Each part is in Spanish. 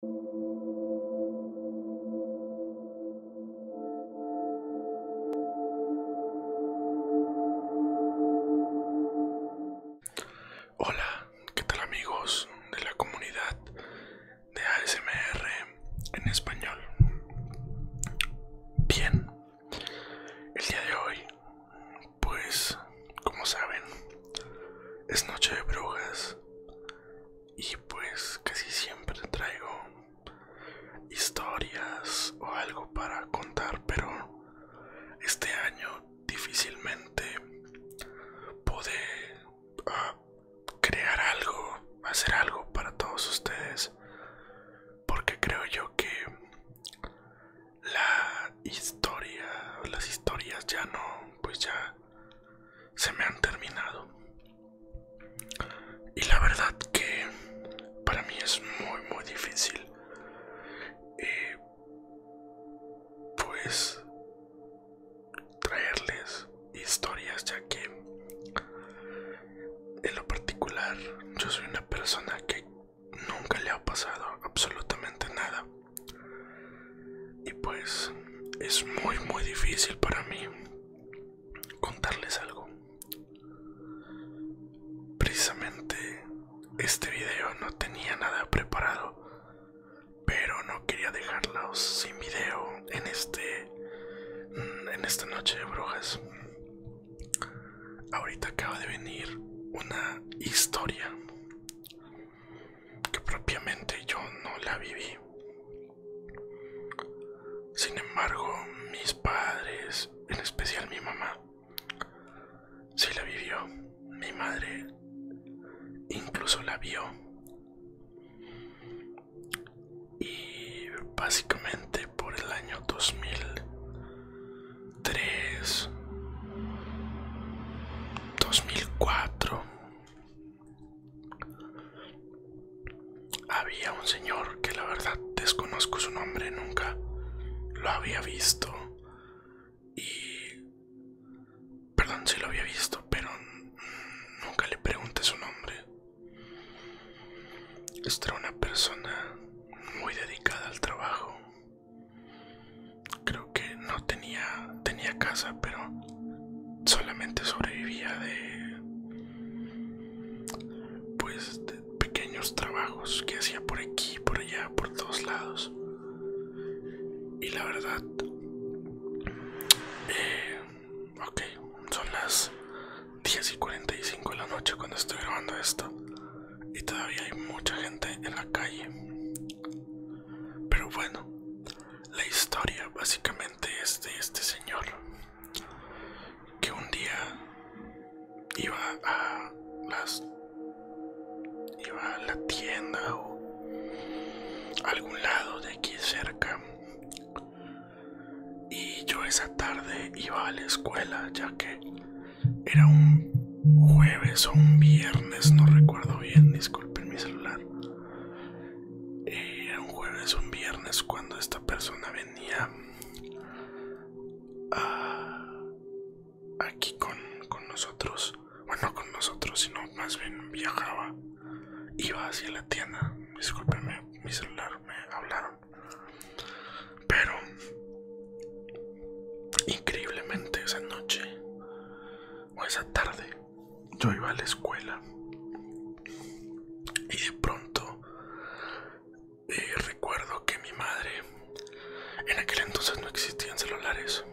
Hola, ¿qué tal amigos de la comunidad de ASMR en español? Bien, el día de hoy, pues como saben, es noche de brujas y pues casi siempre traigo historias o algo para contar pero este año difícilmente pude ah, crear algo hacer algo para todos ustedes porque creo yo que la historia las historias ya no pues ya se me han terminado. Y la verdad que para mí es muy muy difícil. Eh, pues traerles historias ya que en lo particular yo soy una persona que nunca le ha pasado absolutamente nada y pues es muy muy difícil para mí contarles algo. Precisamente este video no tenía nada preparado, pero no quería dejarlos sin video en este mm, en esta noche de brujas. Ahorita acaba de venir una historia que propiamente yo no la viví. Sin embargo, mis padres, en especial mi mamá, si la vivió. Mi madre incluso la vio. Y básicamente por el año 2003, 2004 había un señor que la verdad desconozco su nombre, nunca lo había visto y perdón si lo había visto, pero nunca le pregunté su nombre. Esta era una persona muy dedicada al trabajo Creo que no tenía, tenía casa, pero solamente sobrevivía de, pues, de pequeños trabajos que hacía por aquí, por allá, por todos lados. Y la verdad, eh, ok, son las 10 y 45 de la noche cuando estoy grabando esto y todavía hay mucha gente en la calle. Pero bueno, la historia básicamente es de este señor que un día iba a iba a la tienda o algún lado de aquí cerca y yo esa tarde iba a la escuela ya que era un jueves o un viernes, no recuerdo bien, disculpen mi celular. Era un jueves o un viernes cuando esta persona venía ah, aquí con, nosotros. Bueno, con nosotros, sino más bien viajaba. Iba hacia la tienda. discúlpenme mi celular me hablaron. Pero Increíblemente esa noche o esa tarde yo iba a la escuela y de pronto eh, recuerdo que mi madre, en aquel entonces no existían celulares,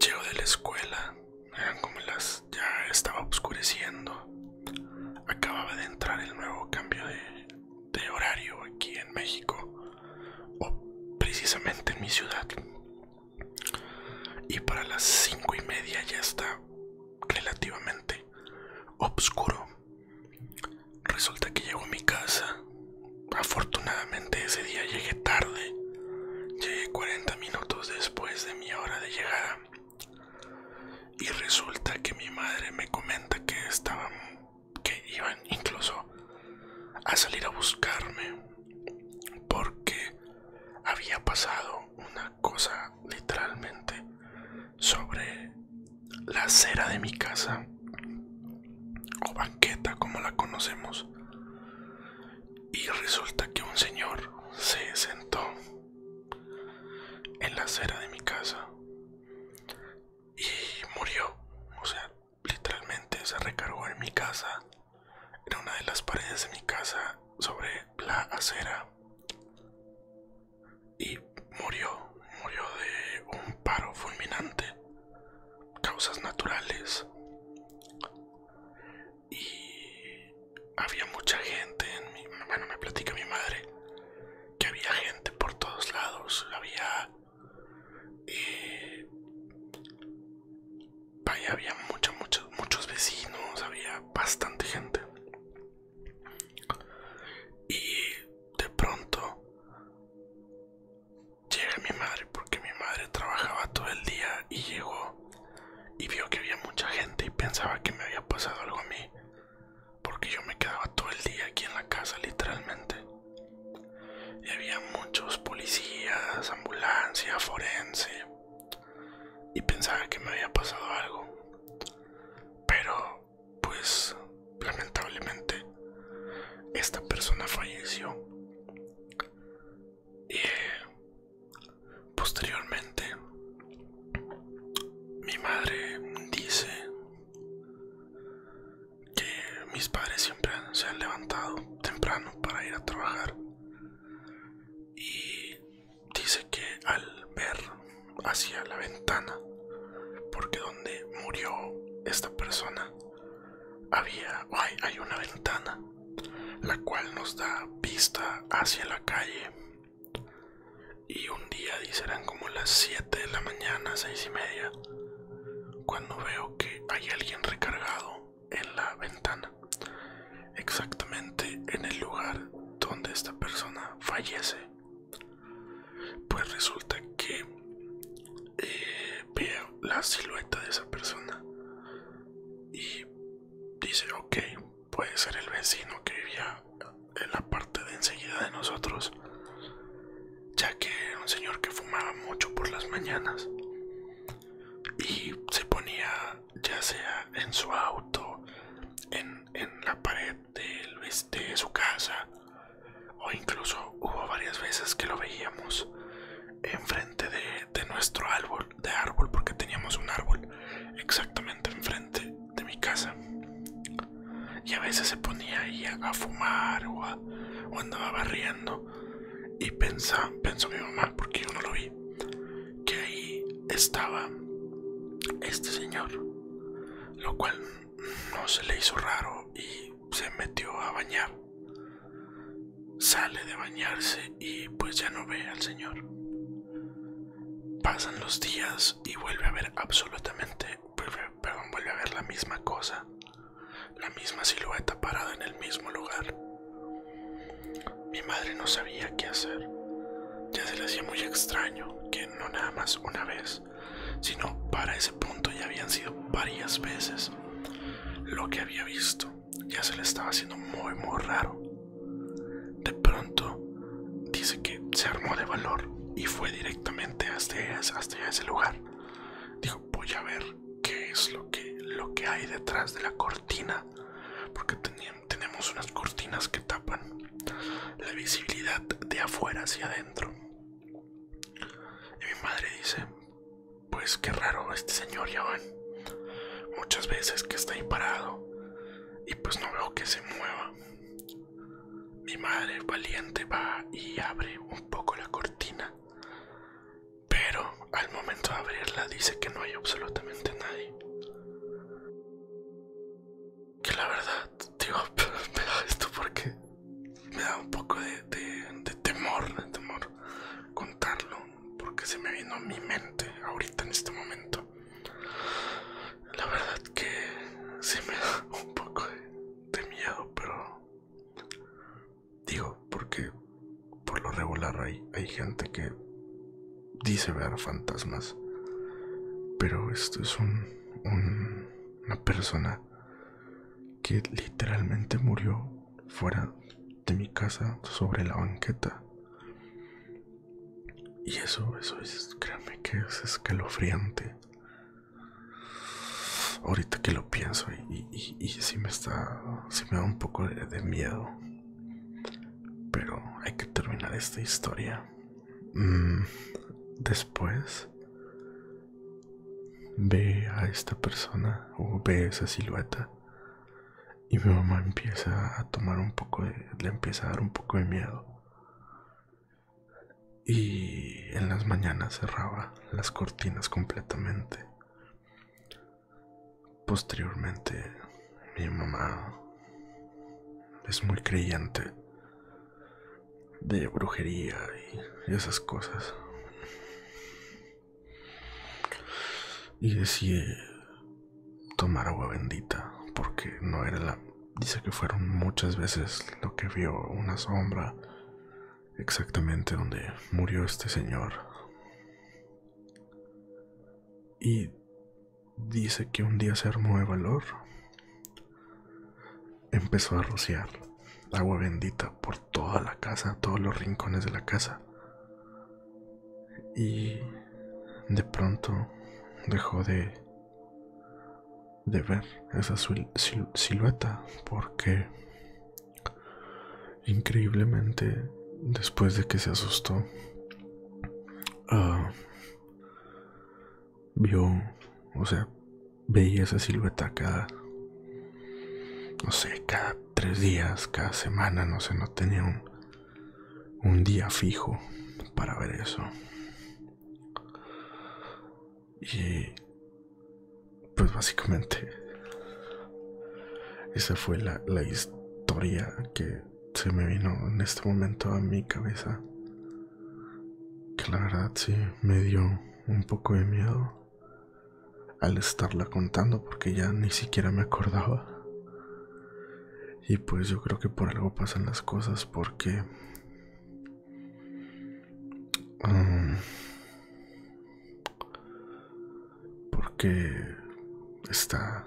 llego de la escuela, vean como las, ya estaba oscureciendo, acababa de entrar el nuevo cambio de de horario aquí en México o precisamente en mi ciudad y para las cinco y media ya está relativamente oscuro resulta que llego a mi casa afortunadamente ese día llegué tarde llegué 40 minutos después de mi hora de llegada y resulta que mi madre me comenta que estaba que iban incluso a salir a buscarme porque había pasado una cosa literalmente sobre la acera de mi casa o banqueta como la conocemos y resulta que un señor se sentó en la acera de mi casa y murió. O sea, literalmente se recargó en mi casa, en una de las paredes de mi casa, sobre la acera. Y murió, murió de un paro fulminante, causas naturales. Y había mucha gente, en mi, bueno, me platica mi madre, que había gente por todos lados, había eh, y había muchos, muchos vecinos, había bastante gente. Y de pronto llega mi madre, porque mi madre trabajaba todo el día y llegó y vio que había mucha gente y pensaba que me había pasado algo a mí porque yo me quedaba todo el día aquí en la casa literalmente. Y había muchos policías, ambulancia, forense. Y pensaba que me había pasado algo. Pero, pues, lamentablemente, esta persona falleció. Y posteriormente, mi madre dice que mis padres siempre se han levantado temprano para ir a trabajar y dice que al ver hacia la ventana porque donde murió esta persona había hay una ventana la cual nos da vista hacia la calle y un día, dice, como las 7 de la mañana, 6 y media, cuando veo que hay alguien recargado en la ventana, exactamente en el lugar donde esta persona fallece. Pues resulta que eh, veo la silueta de esa persona y dice, ok, puede ser el vecino que vivía en la parte de enseguida de nosotros, ya que era un señor que fumaba mucho por las mañanas y se ponía ya sea en su auto, en, la pared del, este, de su casa, o incluso hubo varias veces que lo veíamos enfrente de, de nuestro árbol, de árbol, porque teníamos un árbol exactamente enfrente de mi casa y a veces se ponía ahí a, fumar o, andaba barriendo y pensaba, pensó mi mamá porque yo no lo vi que ahí estaba este señor lo cual no se le hizo raro y se metió a bañar sale de bañarse y pues ya no ve al señor Pasan los días y vuelve a ver absolutamente, perdón, vuelve a ver la misma cosa, la misma silueta parada en el mismo lugar. Mi madre no sabía qué hacer. Ya se le hacía muy extraño que no nada más una vez, sino para ese punto ya habían sido varias veces lo que había visto. Ya se le estaba haciendo muy, muy raro de pronto dice que se armó de valor y fue directamente hasta, ese lugar. Dijo, voy a ver qué es lo que, hay detrás de la cortina, porque tenemos unas cortinas que tapan la visibilidad de afuera hacia adentro. Y mi madre dice, pues qué raro este señor ya muchas veces que está ahí parado y pues no veo que se mueva. Mi madre valiente va y abre un poco la cortina, pero al momento de abrirla dice que no hay absolutamente nadie. Que la verdad, digo, esto porque me da un poco de, temor, de temor contarlo, porque se me vino a mi mente ahorita en este momento la verdad que sí me da un poco de, miedo, pero digo, porque por lo regular hay, gente que dice ver fantasmas, pero esto es una persona que literalmente murió fuera de mi casa sobre la banqueta y eso, eso es, créanme que es escalofriante. Ahorita que lo pienso y, y, sí me está, si me da un poco de, miedo. Pero hay que terminar esta historia. Mm, después ve a esta persona o ve esa silueta y mi mamá empieza a tomar un poco de, le empieza a dar un poco de miedo y en las mañanas cerraba las cortinas completamente posteriormente mi mamá es muy creyente de brujería y esas cosas y decía tomar agua bendita, porque no era la... Dice que fueron muchas veces lo que vio una sombra exactamente donde murió este señor. Y dice que un día se armó de valor. Empezó a rociar agua bendita por toda la casa, todos los rincones de la casa. Y de pronto dejó de, de ver esa silueta porque increíblemente después de que se asustó ah, vio o sea veía esa silueta cada no sé cada tres días cada semana no sé no tenía un un día fijo para ver eso. Y pues básicamente esa fue la, historia que se me vino en este momento a mi cabeza. Que la verdad me dio un poco de miedo al estarla contando porque ya ni siquiera me acordaba. Y pues yo creo que por algo pasan las cosas porque... Mm, porque está...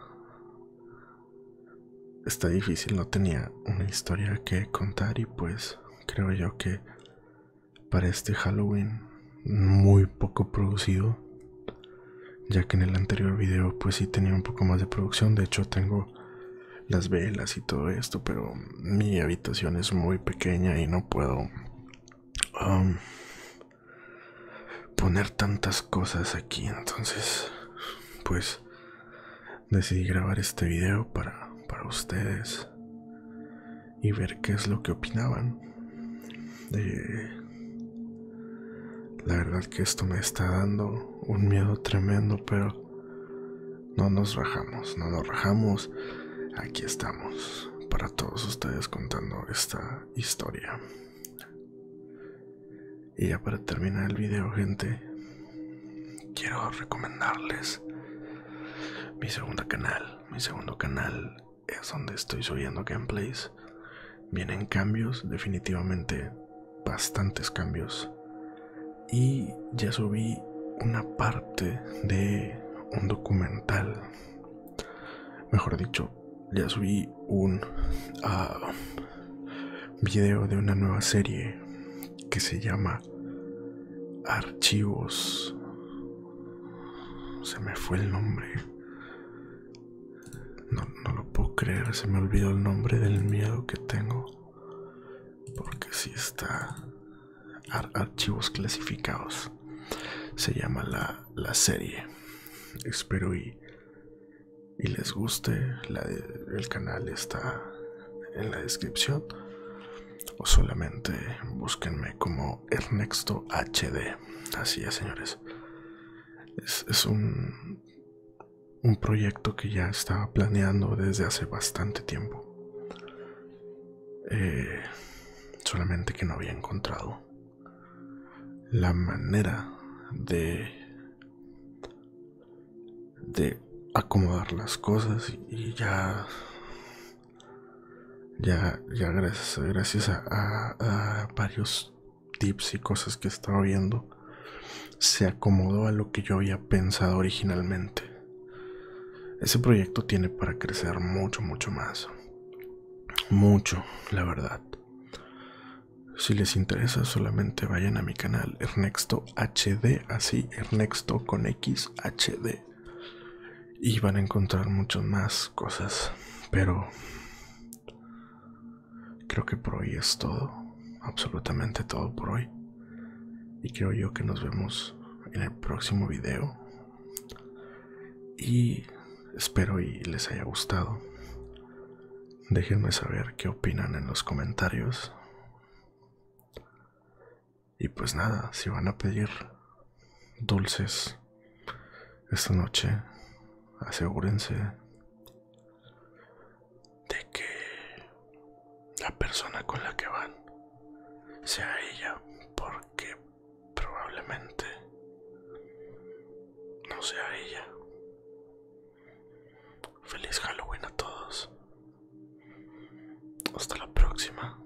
Está difícil, no tenía una historia que contar y pues creo yo que para este Halloween muy poco producido ya que en el anterior video pues sí tenía un poco más de producción, de hecho tengo las velas y todo esto, pero mi habitación es muy pequeña y no puedo um, poner tantas cosas aquí, entonces pues decidí grabar este video para, para ustedes y ver qué es lo que opinaban. De la verdad que esto me está dando un miedo tremendo, pero no nos bajamos, no nos rajamos. Aquí estamos para todos ustedes contando esta historia. Y ya para terminar el video, gente, quiero recomendarles mi segundo canal, mi segundo canal es donde estoy subiendo gameplays, vienen cambios, definitivamente bastantes cambios. Y ya subí una parte de un documental, mejor dicho, ya subí un ah, video de una nueva serie que se llama Archivos. Se me fue el nombre. No, lo puedo creer, se me olvidó el nombre del miedo que tengo. Porque si está archivos clasificados. Se llama la, serie. Espero y, y les guste. La el canal está en la descripción. O solamente búsquenme como Ernesto HD. Así ya señores es, un, proyecto que ya estaba planeando desde hace bastante tiempo. Eh, solamente que no había encontrado la manera de acomodar las cosas y ya ya, ya gracias, a, varios tips y cosas que estaba viendo, se acomodó a lo que yo había pensado originalmente. Ese proyecto tiene para crecer mucho, mucho más. Mucho, la verdad. Si les interesa, solamente vayan a mi canal Ernesto HD, así Ernesto con X HD y van a encontrar muchas más cosas pero creo que por hoy es todo absolutamente todo por hoy y creo yo que nos vemos en el próximo video y espero y les haya gustado déjenme saber qué opinan en los comentarios y pues nada si van a pedir dulces esta noche asegúrense de que la persona con la que van sea ella porque probablemente no sea ella. Feliz Halloween a todos. Hasta la próxima.